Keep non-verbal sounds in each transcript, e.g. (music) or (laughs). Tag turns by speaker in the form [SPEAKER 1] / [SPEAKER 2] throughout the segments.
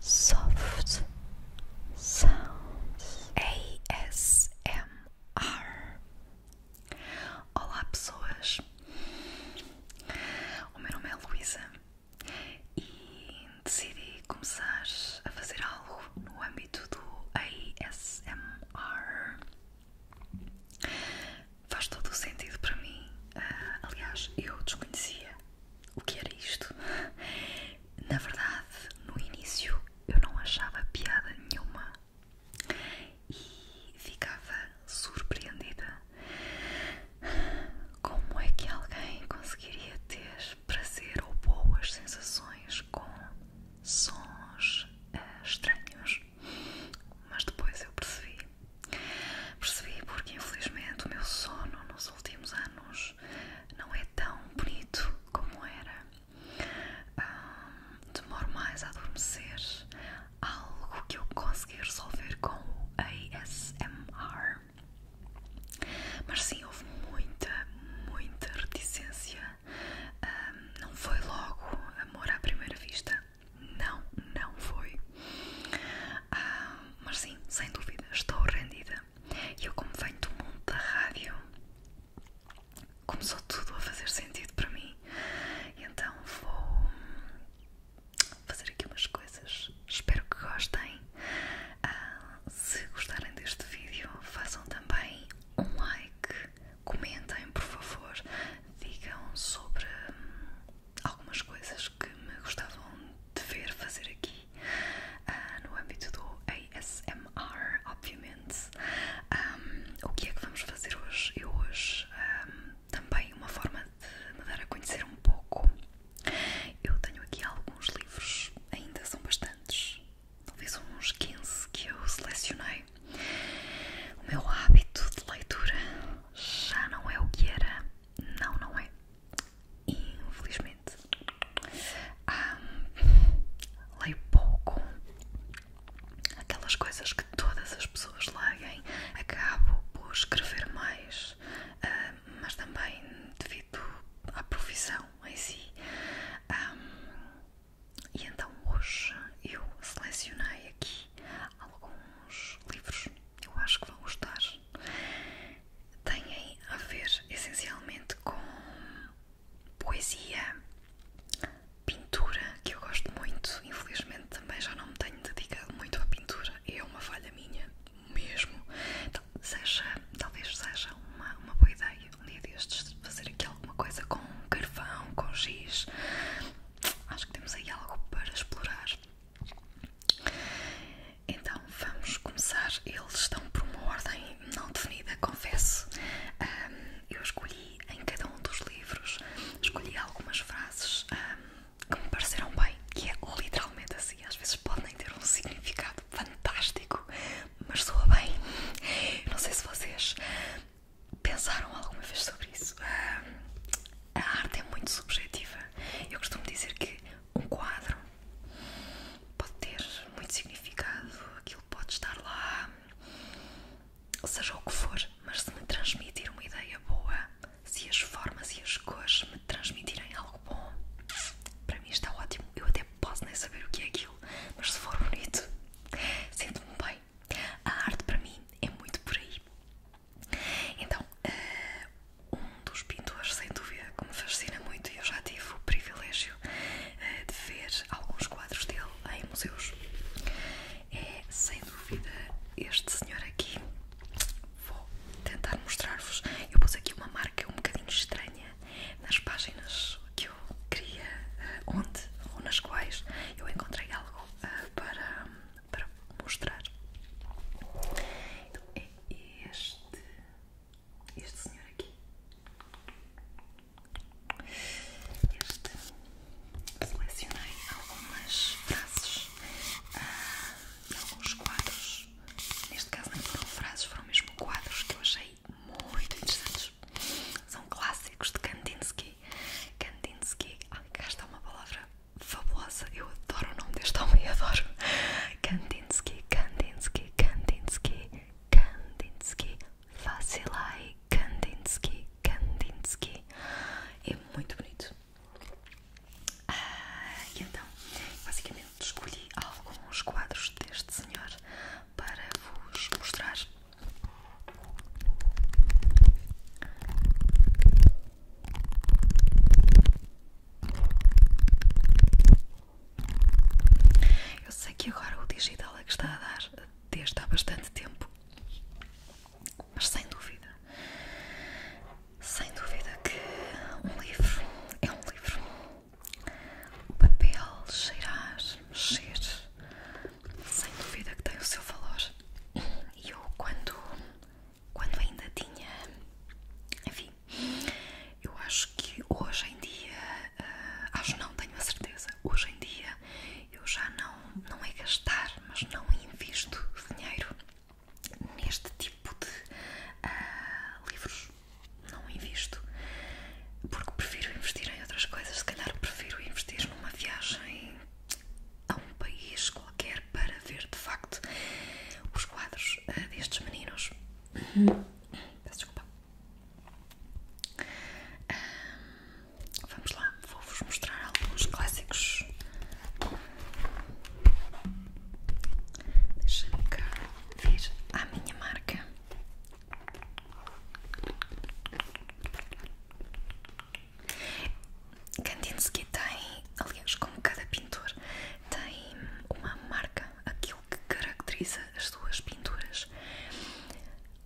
[SPEAKER 1] Soft Sounds ASMR Olá pessoas, o meu nome é Luísa e decidi começar a fazer algo no âmbito do ASMR. Faz todo o sentido para mim, ah, aliás, eu desconhecia o que era isto? Na verdade, no início eu não achava piada nenhuma e ficava surpreendida. Como é que alguém conseguiria ter prazer ou boas sensações com sons eh, estranhos? Mas depois eu percebi Percebi porque, infelizmente, o meu sono nos últimos anos não é tão bonito como era. Hum, demoro mais a adormecer, algo que eu consegui resolver com o ASMR. Mas sim, houve muita, muita reticência. não foi logo amor à primeira vista. Não, não foi. Ah, mas sim, sem dúvida, estou rendida. E eu, como venho do mundo da rádio, começou tudo a fazer sentido para mim. então vou fazer aqui umas coisas. Espero que gostem. Ah, se gostarem deste vídeo, façam também um like, comentem por favor, digam sobre algumas coisas que me gostavam de ver fazer aqui ah, no âmbito do ASMR, obviamente. o que é que vamos fazer hoje? Eu hoje também uma forma de me dar a conhecer um pouco. Eu tenho aqui alguns livros, ainda são bastantes, talvez uns 15 que eu selecionei. O meu hábito de leitura já não é o que era não, não é. Infelizmente. leio pouco. Aquelas coisas que todas as pessoas leem, acabo por escrever mais, mas também devido à profissão em si. e então hoje eu selecionei aqui alguns livros eu acho que vão gostar. Têm a ver essencialmente com poesia, pintura, que eu gosto muito. Infelizmente também já não me tenho dedicado muito à pintura, é uma falha minha mesmo. Então, talvez seja uma, uma boa ideia um dia destes fazer aqui alguma coisa com carvão, com giz. Acho que temos aí algo para explorar. Então vamos começar. Eles estão por uma ordem não definida, confesso. eu escolhi em cada um dos livros, escolhi algumas frases que me pareceram bem, que é literalmente assim. Às vezes podem ter um significado fantástico, mas soa bem. não sei se vocês pensaram alguma vez sobre isso a arte é muito subjetiva. Eu costumo dizer que um quadro pode ter muito significado, aquilo pode estar lá, seja o que for, mas se me transmitir uma ideia boa, se as formas e as cores me transmitirem algo bom, para mim está ótimo. Eu até posso nem saber o que é aquilo, mas se for bonito, (laughs) sinto-me bem. A arte para mim é muito por aí. Então, eh, um dos pintores, sem dúvida, que me fascina muito, e eu já tive o privilégio eh, de ver alguns quadros dele em museus, é sem dúvida este senhor aqui. Vou tentar mostrar-vos. Eu pus aqui uma marca um bocadinho estranha nas páginas que eu queria, eh, onde ou nas quais eu encontrei algo para para mostrar. Então é este, este senhor aqui. Este selecionei algumas frases ah, alguns quadros. Neste caso não foram frases, foram mesmo quadros que eu achei muito interessantes. São clássicos de Kandinsky. Kandinsky, ah, cá está uma palavra fabulosa. Eu adoro o nome deste homem, (laughs) adoro. Kandinsky, Kandinsky, Kandinsky, Kandinsky, Vasilai, Kandinsky, Kandinsky. É muito bonito. Ah, e então, basicamente escolhi alguns quadros deste senhor para vos mostrar. Eu sei que agora o digital é que está a dar desde há bastante tempo, mas sem dúvida, sem dúvida que um livro é um livro. O papel cheirar, mexer, sem dúvida que tem o seu valor. E eu, quando quando ainda tinha. Enfim, eu acho que hoje em dia, uh, acho não, tenho a certeza, hoje em dia eu já não, não é gastar, mas não invisto dinheiro neste tipo de ah, livros. Não invisto, porque prefiro investir em outras coisas. Se calhar prefiro investir numa viagem a um país qualquer para ver de facto os quadros eh, destes meninos. Uhum. desculpa. vamos lá, vou-vos mostrar alguns clássicos. Deixa-me cá vir à minha marca. Kandinsky tem, aliás, como cada pintor, tem uma marca, aquilo que caracteriza as suas pinturas.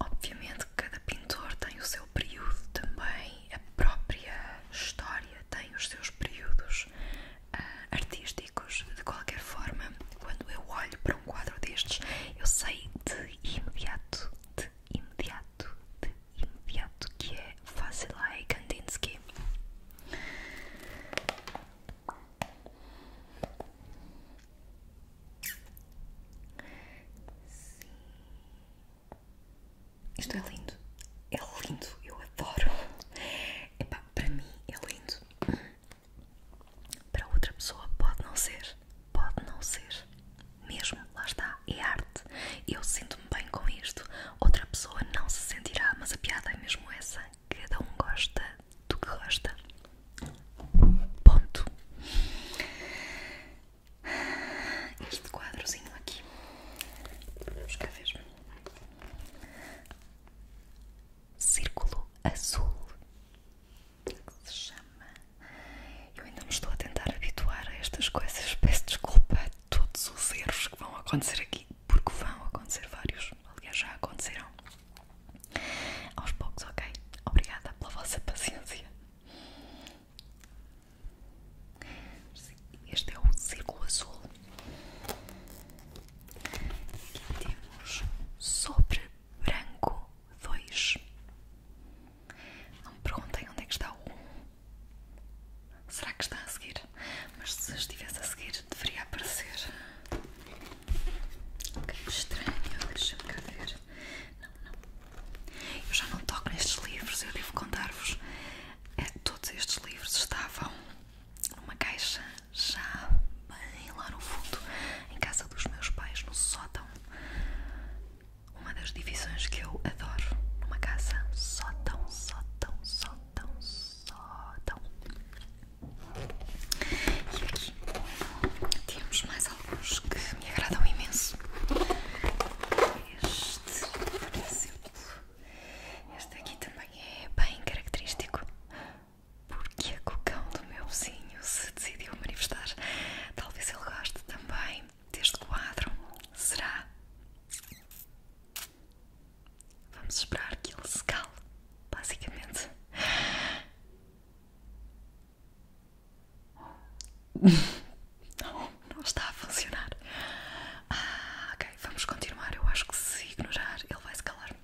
[SPEAKER 1] Obviamente, cada pintor tem o seu período também, a própria história tem os seus períodos ah, artísticos. De qualquer forma, quando eu olho para um quadro destes, eu sei de imediato, de imediato, de imediato, que é Vasilei Kandinsky. Sim. Isto é lindo, é lindo, eu adoro. Epá, para mim é lindo. Para outra pessoa pode não ser, pode não ser. Mesmo, lá está, é arte. Eu sinto-me bem com isto. Outra pessoa não se sentirá, mas a piada é mesmo essa. Cada um gosta do que gosta. Ponto. Este quadrozinho aqui. Vamos cá ver. Círculo azul. se chama eu ainda me estou a tentar habituar a estas coisas. Peço desculpa a todos os erros que vão acontecer aqui, porque vão acontecer vários. Aliás, já aconteceram. Aos poucos, ok? Obrigada pela vossa paciência. Este é o círculo azul. Aqui temos sobre branco 2. Não me perguntem onde é que está o 1. Será que está a seguir? Mas se estivesse a seguir, deveria aparecer. Que estranho, deixa-me cá ver. Não, não. Eu já não toco nestes livros, eu devo contar-vos. É, todos estes livros estavam numa caixa já bem lá no fundo, em casa dos meus pais, no sótão. Uma das divisões que eu adoro numa casa só tão, só tão, só tão, só tão. E aqui temos mais alguns que me agradam imenso. Este, por exemplo, este aqui também é bem característico. Porque é o cão do meu vizinho se decidiu manifestar. Talvez ele goste também, deste quadro será. Vamos esperar que ele se cale, basicamente. (laughs) Não, está a funcionar. Ah, ok, vamos continuar. Eu acho que se ignorar, ele vai se calar.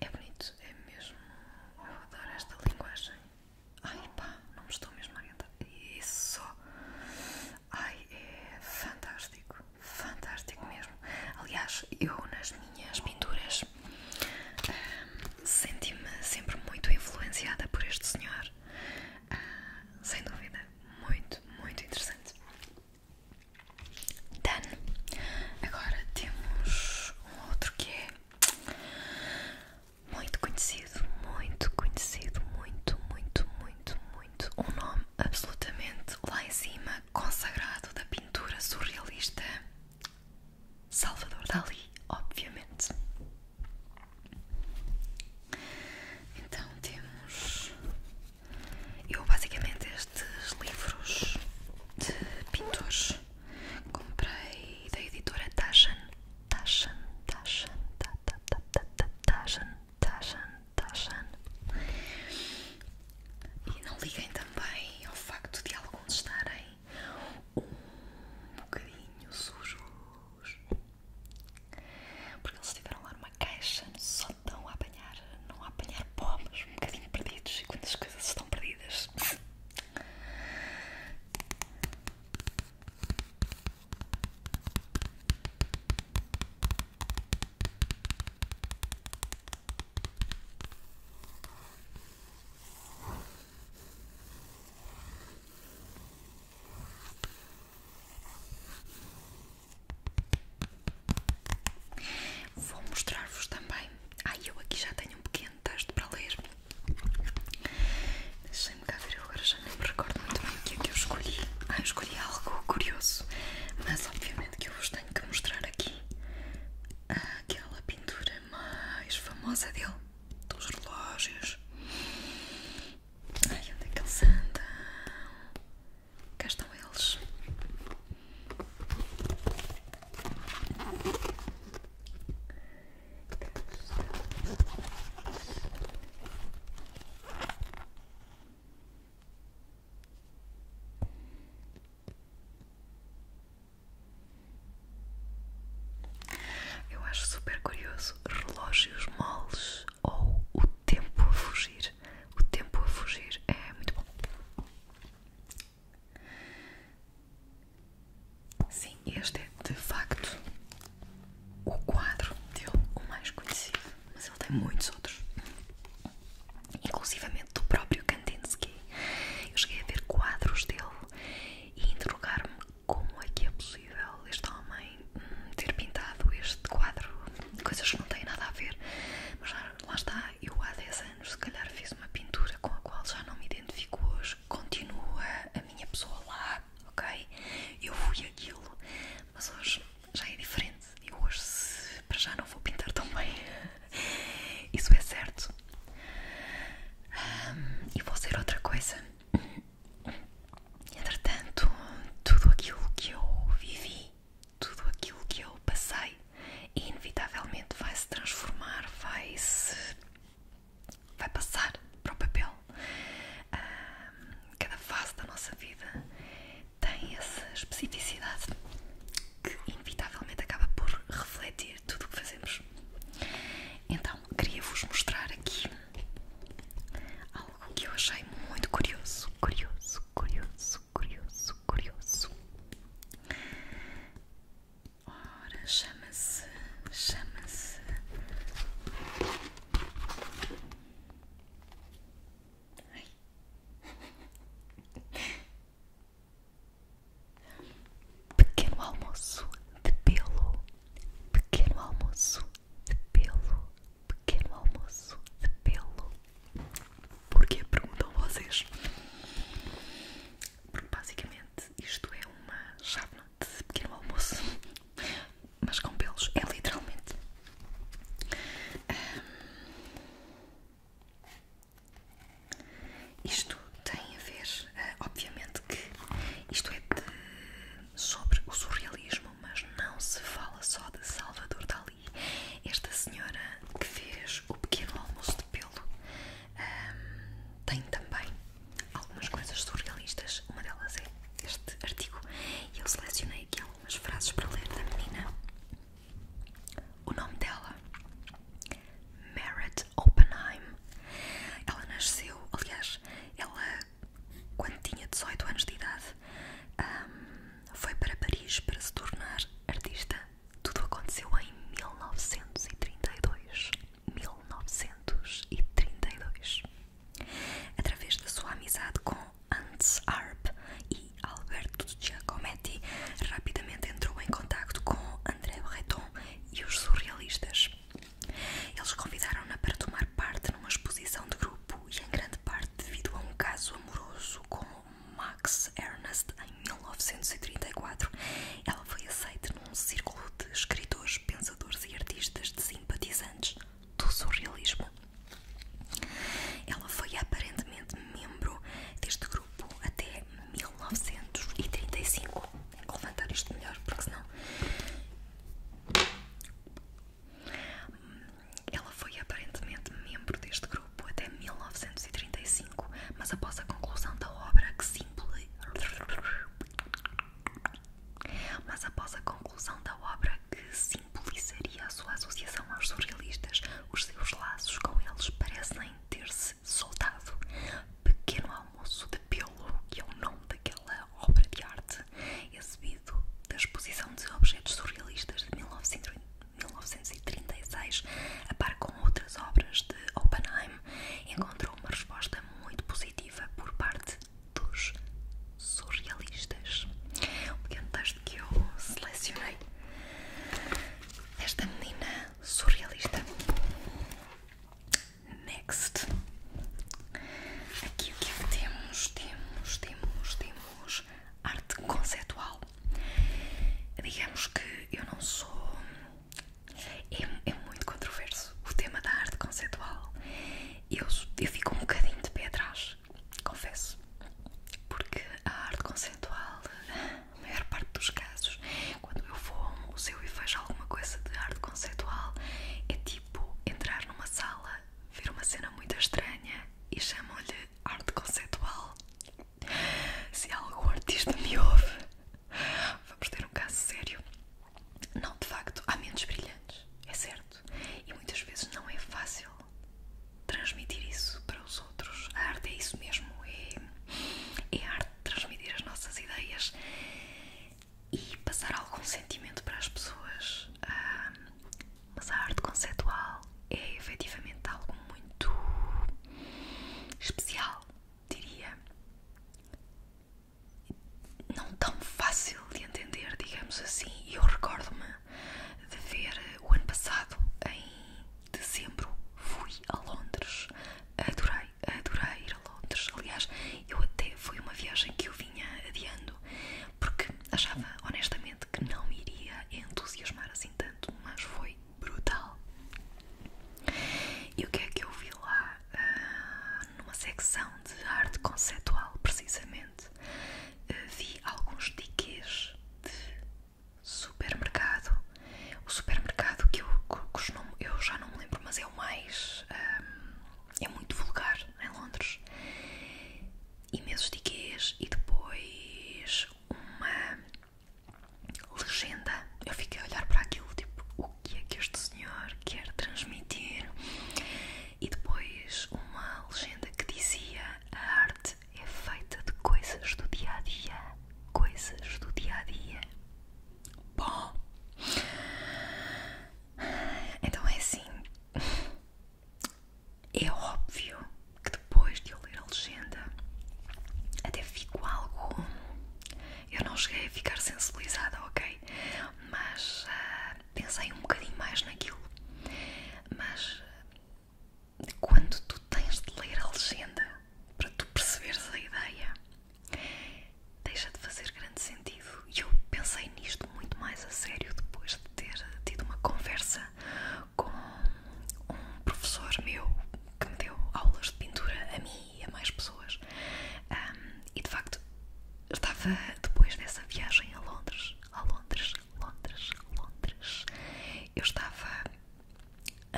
[SPEAKER 1] É bonito, é mesmo. Eu adoro esta linguagem. Ai pá, não me estou mesmo a orientar. Isso! Ai, é fantástico, fantástico mesmo. Aliás, eu nas minhas pinturas hum, senti-me sempre muito influenciada por este senhor. Ah, sem dúvida, muito, muito interessante. Done. Agora temos um outro que é muito conhecido, muito conhecido, muito, muito, muito, muito. Um nome absolutamente lá em cima, consagrado da pintura surrealista. Salvador Dali, obviamente. Então temos. Eu basicamente estes livros de pintores Comprei da editora Tajan, Tajan, Tajan, Tajan, Tajan, Tajan. E não liguem também ao facto de alguns estarem um bocadinho sujos. Porque eles tiveram lá uma caixa no sótão a apanhar, não a apanhar pó, mas um bocadinho perdidos. E quantas coisas estão perdidas, Vou mostrar-vos também. Ai, eu aqui já tenho um pequeno texto para ler. Deixem-me cá ver, eu agora já nem me recordo muito bem o que é que eu escolhi. Ah, eu escolhi algo curioso, mas obviamente que eu vos tenho que mostrar aqui aquela pintura mais famosa dele, dos relógios. Ai, onde é que eles andam? Cá estão eles. Eu acho super curioso relógios moles ou o tempo a fugir. O tempo a fugir é muito bom. Sim, este é de facto o quadro dele, o mais conhecido, mas ele tem muitos outros, inclusivamente do próprio Kandinsky. Eu cheguei a ver quadros dele e interrogar-me como é que é possível este homem hum, ter pintado este quadro, coisas que não têm nada a ver, mas lá, está, eu há 10 anos, se calhar fiz uma pintura com a qual já não me identifico hoje. Continua a minha pessoa lá, ok? Eu fui aquilo, mas hoje já é diferente. E hoje, se, para já, não vou pintar tão bem. (laughs) Isso é certo. e vou ser outra coisa. Entretanto, tudo aquilo que eu vivi, tudo aquilo que eu passei, inevitavelmente vai se transformar, vai se vai passar para o papel. Ah, cada fase da nossa vida tem essa especificidade que inevitavelmente acaba por refletir tudo o que fazemos. Então, queria-vos mostrar aqui algo que eu achei muito curioso, curioso, curioso, curioso, curioso. Ora, chama-se, chama-se Pequeno almoço de pelo, pequeno almoço de pelo, pequeno almoço de pelo. Porquê perguntam vocês? Porque basicamente isto é uma chave de pequeno almoço, mas com pelos, é literalmente. isto tem a ver, ah, obviamente, que isto é sobre o surrealismo, mas não se fala só de Salvador Dali. Esta senhora que fez o pequeno almoço de pelo um, tem também algumas coisas surrealistas, uma delas é este artigo. eu selecionei aqui algumas frases para ler da menina. O nome dela, Merritt Oppenheim. Ela nasceu, aliás, ela quando tinha 18 anos de idade foi para Paris para se tornar artista tudo aconteceu em 1932. 1932. Através da sua amizade com Hans Arp e Alberto Giacometti, rapidamente entrou em contato com André Breton e os surrealistas. Eles convidaram-na para tomar parte numa exposição de grupo e, em grande parte, devido a um caso amoroso com Max Ernst. 1934, ela foi aceita num círculo de escritores, pensadores e artistas de simpatizantes do surrealismo. Ela foi aparentemente membro deste grupo até 1935. Tenho que levantar isto melhor, porque senão. Ela foi aparentemente membro deste grupo até 1935 mas após a conclusão da obra que simboliza é- mas após a conclusão da obra que simbolizaria a sua associação aos surrealistas, os seus laços com eles parecem ter-se soltado. Pequeno Almoço de Pelo, que é o nome daquela obra de arte, exibido da exposição de objetos surrealistas de 1930. 1936, a par com outras obras de Oppenheim, encontrou uma resposta muito positiva por parte dos surrealistas. Um pequeno teste que eu selecionei. Esta menina surrealista. Next. Aqui o que é que temos? Temos, temos, temos arte conceptual. Digamos que eu não sou é, é, muito controverso o tema da arte conceitual. Eu, fico um bocadinho de pé atrás, confesso. Porque a arte conceitual, na maior parte dos casos, quando eu vou a um museu e vejo alguma coisa de arte conceitual, é tipo entrar numa sala, ver uma cena muito estranha e chamam-lhe arte conceitual. Se algum artista me ouve, vamos ter um caso sério. Não, de facto, há mentes brilhantes, é certo. E muitas vezes não é fácil transmitir isso para os outros. A arte é isso mesmo, é, a é arte de transmitir as nossas ideias e passar algum sentimento para as pessoas. Ah, mas a arte conceitual é efetivamente algo muito especial, diria. Não tão fácil de entender, digamos assim. eu recordo-me de ver o ano passado, em dezembro, fui a Londres. Adorei, adorei ir a Londres. Aliás, eu até foi uma viagem que eu vinha adiando porque achava honestamente que não iria entusiasmar assim tanto, mas foi brutal. E o que é que eu vi lá? Ah, numa secção de arte conceptual precisamente, ah, vi alguns tickets de supermercado. O supermercado que eu, costumo, eu já não me lembro, mas é o mais. Ah, é muito vulgar em Londres. Imensos tickets e depois uma legenda. Eu fiquei a olhar para aquilo, tipo, o que é que este senhor quer transmitir? E depois uma legenda que dizia: a arte é feita de coisas do dia a dia. Coisas do dia a dia. Bom, então é assim. É óbvio que depois de eu ler a legenda até fico algo. Eu não cheguei a ficar sensibilizada, ok? Mas ah, pensei um bocadinho mais naquilo. Mas quando tu tens de ler a legenda para tu perceberes a ideia, deixa de fazer grande sentido. E eu pensei nisto muito mais a sério depois de ter tido uma conversa com um professor meu que me deu aulas de pintura a mim e a mais pessoas. e de facto, estava depois dessa viagem a Londres, a Londres, Londres, Londres. Eu estava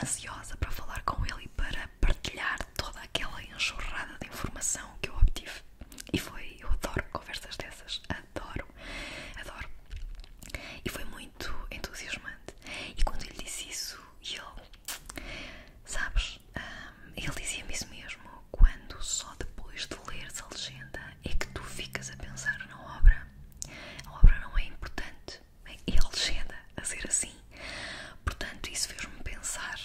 [SPEAKER 1] ansiosa para falar com ele e para partilhar toda aquela enxurrada de informação que eu obtive. E foi, eu adoro conversas dessas, adoro, adoro. E foi muito muito entusiasmante. E quando ele lhe disse isso, ele, sabes, ele dizia-me isso mesmo: quando só depois de leres a legenda é que tu ficas a pensar na obra. A obra não é importante, é a legenda a ser assim. Portanto, isso fez-me pensar,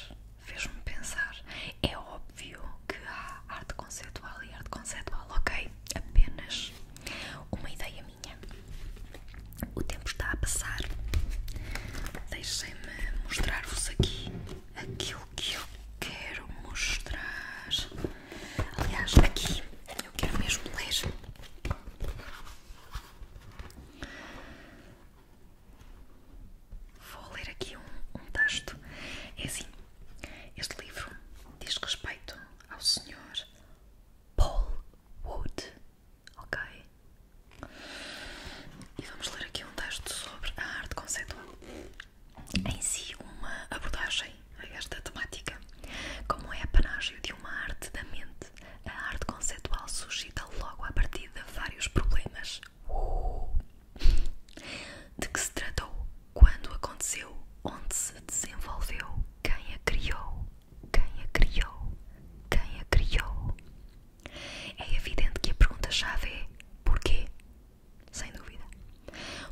[SPEAKER 1] fez-me pensar. É óbvio que há arte conceitual e arte conceitual, ok? Apenas uma ideia minha o tempo está a passar. Deixem-me mostrar-vos aqui aquilo que eu quero mostrar. Aliás, aqui eu quero mesmo ler. Vou ler aqui um, texto. É assim: este livro diz respeito ao Senhor Paul Wood, ok? E vamos ler aqui um texto sobre a arte conceitual. Em si, uma abordagem a esta temática. Como é apanágio de uma arte da mente, a arte conceitual suscita logo a partir de vários problemas. Uh! De que se tratou? Quando aconteceu? onde se desenvolveu, quem a criou, quem a criou, quem a criou. É evidente que a pergunta-chave é porquê? Sem dúvida.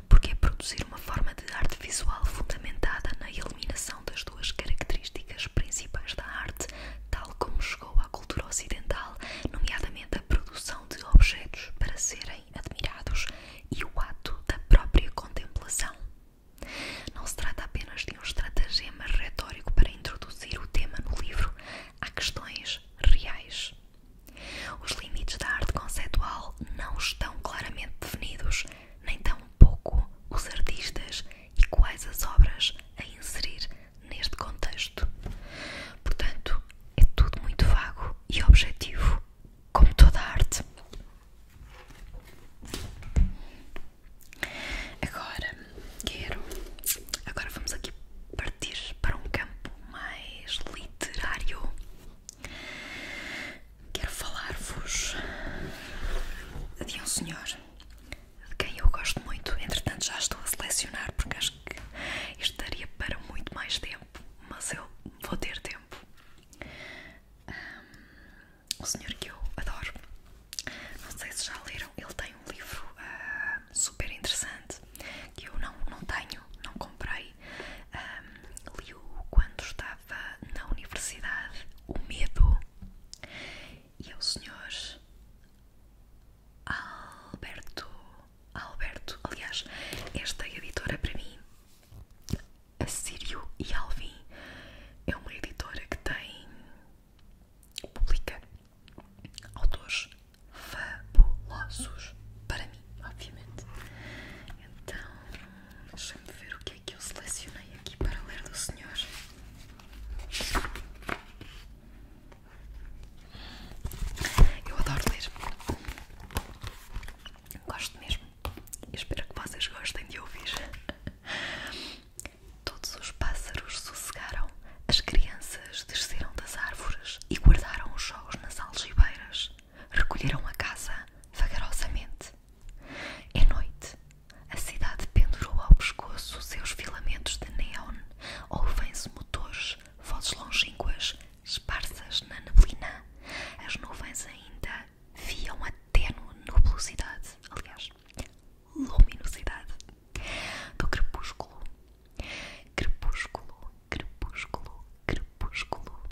[SPEAKER 1] Porque produzir uma forma de arte visual fundamentada na eliminação das duas características principais da arte, tal como chegou à cultura ocidental, nomeadamente a produção de objetos para serem admirados e o ato da própria contemplação. Não se trata apenas de um estratagema retórico para introduzir o tema no livro a questões reais. Os limites da arte conceptual não estão claramente definidos, nem tão pouco os artistas e quais as obras a inserir neste contexto. Portanto, é tudo muito vago e objetivo, como toda arte. Agora quero. Agora vamos aqui partir para um campo mais literário. Quero falar-vos de um senhor de quem eu gosto muito. Entretanto, já estou a selecionar porque acho que isto daria para muito mais tempo, mas eu vou ter tempo um, senhor que eu adoro. Não sei se já leram, ele tem um livro super interessante que eu não, não tenho, não comprei. liu quando estava na universidade, O Medo. E é o senhor Alberto. Alberto, aliás, esta editora para mim a Sírio e Alvin é uma editora que tem. publica autores fabulosos. Para mim, obviamente. Então, deixem me ver o que é que eu selecionei aqui para ler do senhor. Eu adoro ler. Gosto mesmo espero que vocês gostem de ouvir. Todos os pássaros sossegaram, as crianças desceram das árvores e guardaram os jogos nas algibeiras, recolheram a casa vagarosamente. É noite, a cidade pendurou ao pescoço seus filamentos de neón, ouvem-se motores, vozes longínquas, esparsas na neblina, as nuvens ainda via uma tênue nublosidade, aliás, luminosidade, do crepúsculo. Crepúsculo, crepúsculo, crepúsculo.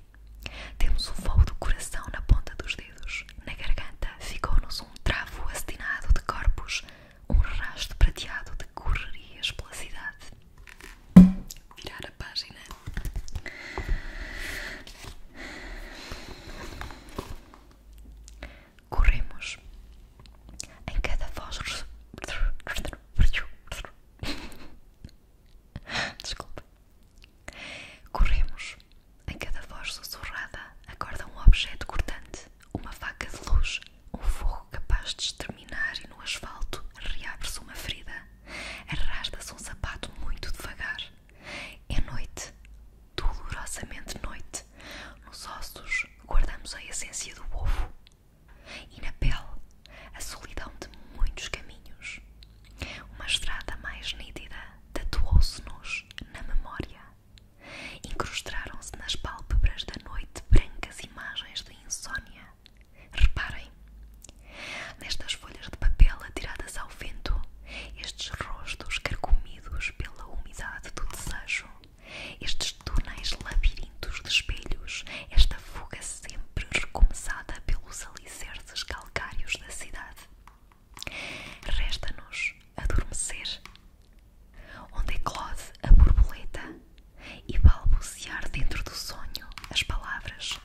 [SPEAKER 1] Temos o fogo do coração na ponta dos dedos. Na garganta ficou-nos um travo assinado de corpos, um rastro prateado de correrias pela cidade virar a página. Corremos. Em cada voz. Desculpa. Corremos. Em cada voz sussurrada acorda um objeto cortante, uma faca de luz, um fogo capaz de exterminar, e no asfalto reabre-se uma ferida. Arrasta-se um sapato muito devagar. É noite, dolorosamente noite. Nos ossos guardamos a essência do ovo e na pele a solidão de muitos caminhos. Uma estrada mais nítida tatuou-se-nos na memória. Incrustaram-se nas pálpebras da noite brancas imagens de insônia. Reparem, nestas folhas de papel atiradas ao vento, estes rostos carcomidos pela umidade do desejo, estes túneis labirintos de espelhos, esta fuga sempre recomeçada pelos alicerces calcários da cidade. Resta-nos adormecer, onde eclode é a borboleta e balbuciar dentro do sonho as palavras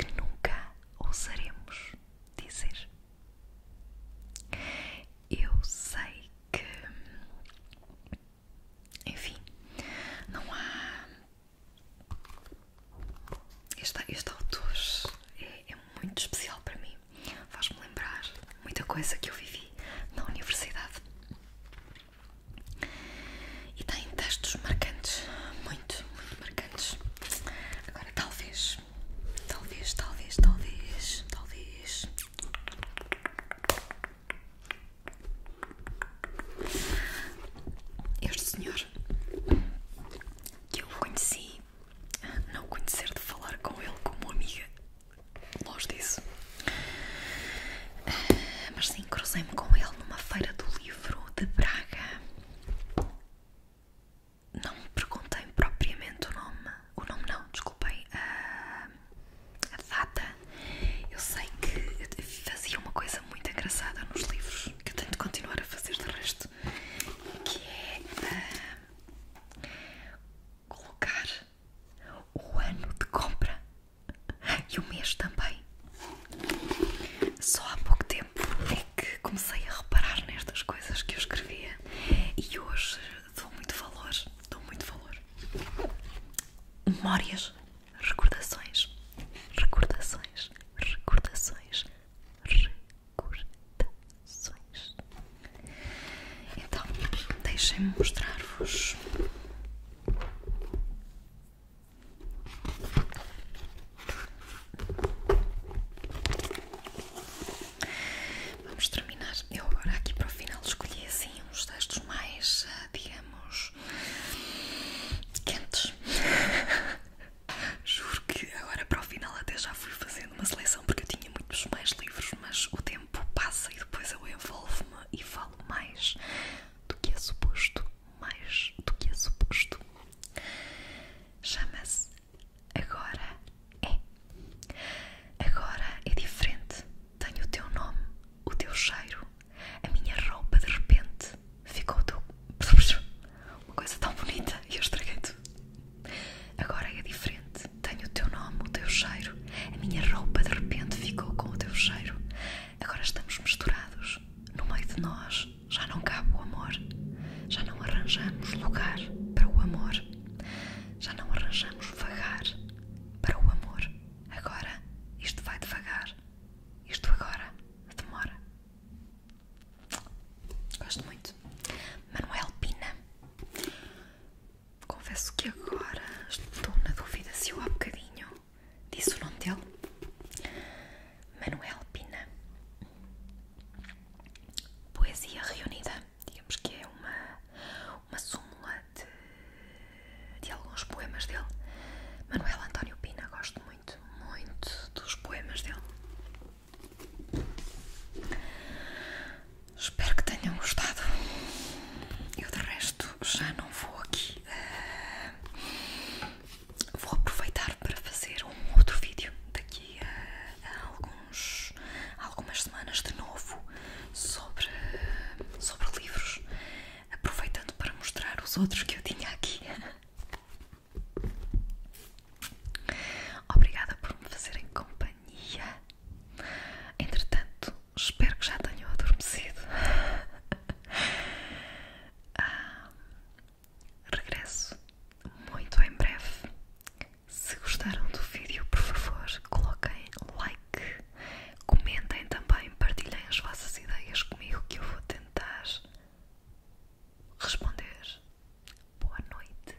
[SPEAKER 1] que nunca ousaremos dizer. Eu sei que, enfim, não há. Este, este autor é, é muito especial para mim, faz-me lembrar muita coisa que eu vivi na universidade. E tem tá textos marcantes, muito, muito marcantes. Agora, talvez, talvez, talvez, talvez, talvez. Este senhor que eu conheci, não conhecer de falar com ele como amiga, longe disso. Ah, mas sim, cruzei-me com ele numa feira do livro de Braga. Não me perguntei propriamente o nome. O nome não, desculpem. A, a data. Eu sei que fazia uma coisa muito engraçada nos livros, que eu tenho de continuar a fazer de resto, que é colocar o ano de compra (laughs) E o mês também. Só há pouco tempo é que comecei a reparar nestas coisas que eu escrevia e hoje dou muito valor, dou muito valor. Memórias, recordações, recordações, recordações, recordações. Então, deixem-me mostrar-vos Vamos terminar. Eu agora aqui para o final escolhi assim uns textos mais, eh, digamos, quentes. (laughs) Juro que agora para o final até já fui fazendo uma seleção porque eu tinha muitos mais livros, mas o tempo passa e depois eu envolvo-me e falo mais do que é suposto, mais do que é suposto. Chama-se Agora é. Agora é diferente. Tenho o teu nome, o teu cheiro, a minha roupa de repente ficou teu. (laughs) Uma coisa tão bonita e eu estraguei tudo. Agora é diferente. Tenho o teu nome, o teu cheiro, a minha roupa de repente ficou com o teu cheiro. Agora estamos misturados no meio de nós já não cabe o amor, já não arranjamos lugar para o amor, já não arranjamos vagar para o amor. Agora isto vai devagar, isto agora demora. Gosto muito. Manuel Pina. Confesso que agora estou na dúvida se eu há bocadinho disse o nome dele, Manuel Pina. Poesia reunida, digamos que é uma, uma súmula de, alguns poemas dele. Manuel António Pina, gosto muito, muito dos poemas dele. Espero que tenham gostado. Eu de resto já não vou aqui eh, vou aproveitar para fazer um outro vídeo daqui a, algumas semanas de novo sobre, sobre livros, aproveitando para mostrar os outros que eu tinha aqui. Obrigada por me fazerem companhia. Entretanto, espero que já tenham adormecido ah, regresso muito em breve. Se gostaram do vídeo, por favor, coloquem like, comentem também, partilhem as vossas ideias comigo que eu vou tentar responder. Boa noite.